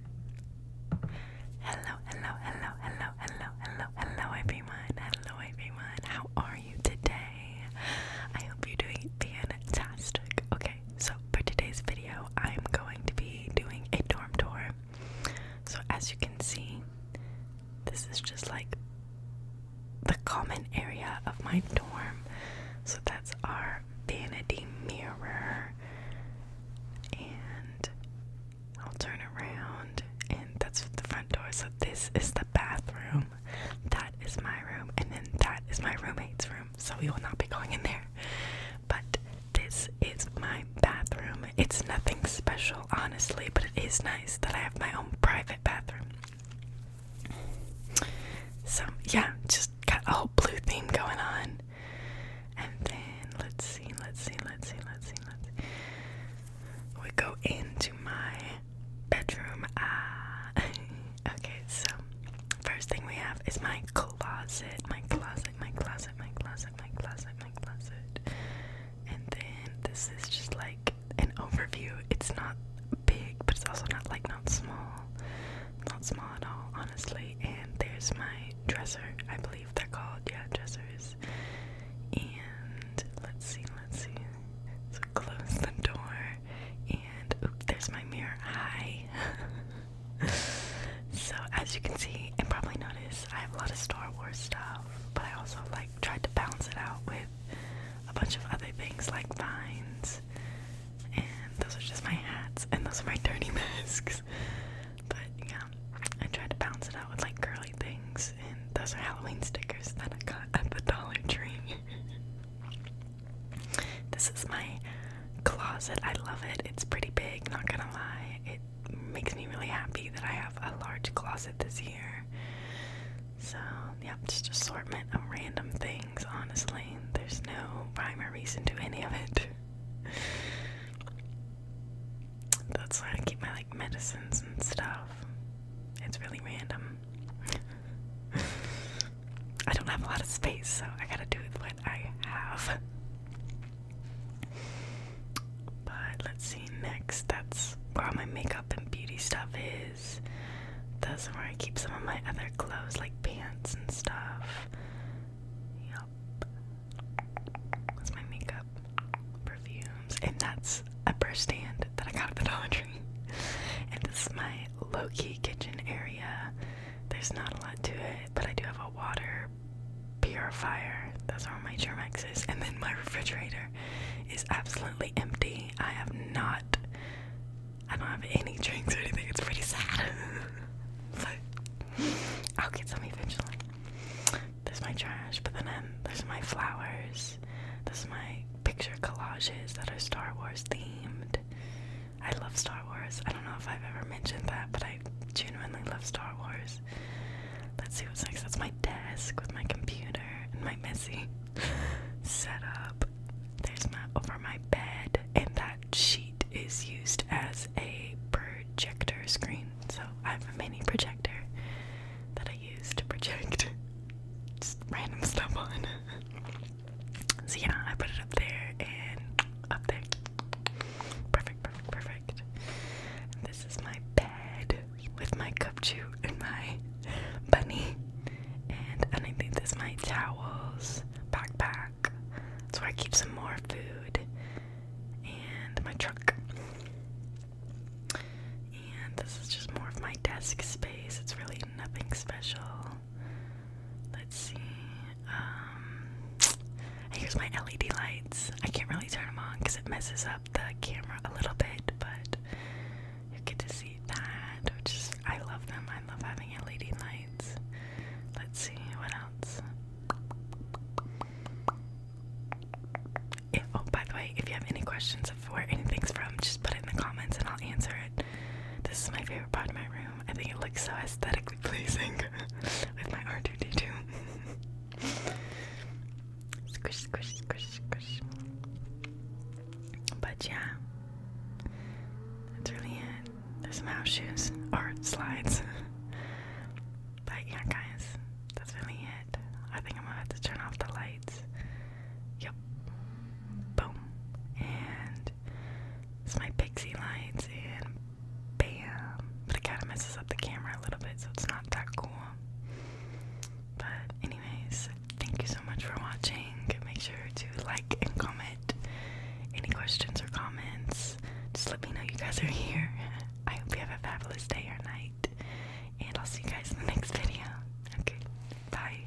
Hello, hello, hello, hello, hello, hello, hello, everyone. Hello, everyone. How are you today? I hope you're doing fantastic. Okay, so for today's video, I'm going to be doing a dorm tour. So, as you can see, this is just like the common area of my dorm. So, that's our vanity mirror and I'll turn around and that's the front door. So this is the bathroom. That is my room and then that is my roommate's room. So we will not be going in there. But this is my bathroom. It's nothing special honestly, but it is nice that I have my own private bathroom. So yeah, just got a whole blue theme going on. And then let's see, let's see, let's see, let's see, let's see. We go into my bedroom. Ah, okay. So first thing we have is my closet, my closet, my closet, my closet, my closet, my closet. And then this is just like an overview. It's not big, but it's also not like not small, not small at all. And there's my dresser, I believe they're called, yeah, dressers. And let's see, let's see. So close the door, and oop, there's my mirror. Hi. so as you can see, and probably notice, I have a lot of Star Wars stuff, but I also like tried to balance it out with a bunch of other things like vines and those are just my hats, and those are my dirty masks. But yeah, I tried to balance it out with like curly things, and those are Halloween stickers that I got at the Dollar Tree. this is my closet. I love it. It's pretty big, not gonna lie. It makes me really happy that I have a large closet this year. So, yeah, just assortment of random things, honestly. There's no rhyme or reason to any of it. That's why I keep my like medicines and stuff. It's really random. I don't have a lot of space, so I gotta do with what I have. But let's see next. That's where all my makeup and beauty stuff is. Those are where I keep some of my other clothes, like pants and stuff. Yep. That's my makeup, perfumes, and that's a brush stand that I got at the Dollar Tree. And this is my low key kitchen area. There's not a lot to it, but I do have a water purifier. That's where my Germex is. And then my refrigerator is absolutely empty. I have not I don't have any drinks or anything. It's pretty sad. but I'll get some eventually. There's my trash, but then um, there's my flowers. There's my picture collages that are Star Wars themed. I love Star Wars. I don't know if I've ever mentioned that, but I genuinely love Star Wars. Let's see what's next. That's my desk with my computer and my messy set up. There's my over my bed, and that sheet is used as a projector screen. So I have a mini projector that I use to project just random stuff on. so yeah, I put it up there and up there. Perfect, perfect, perfect. this is my bed with my cup chew and my bunny and underneath is my towels, backpack. That's where I keep some more food and my truck. And this is just more of my desk space. It's really nothing special. Let's see. Um, here's my LED lights. I can't really turn them on because it messes up the camera a little bit, but you get to see that, which I love them. I love having LED lights. Let's see, what else? oh, by the way, if you have any questions of where anything's from, just put it in the comments and I'll answer it. This is my favorite part of my room. I think it looks so aesthetically pleasing with my R2D2. Squish, squish, squish, squish. But yeah, that's really it. There's mouse shoes or slides. but yeah, guys, that's really it. I think I'm gonna have to turn off the lights. Yep. Boom. And it's my pixie lights, and bam. But it kind of messes up the camera a little bit, so it's not that cool. But anyways, thank you so much for watching. Make sure to like and comment. Any questions or comments, just let me know you guys are here. I hope you have a fabulous day or night. And I'll see you guys in the next video. Okay. Bye.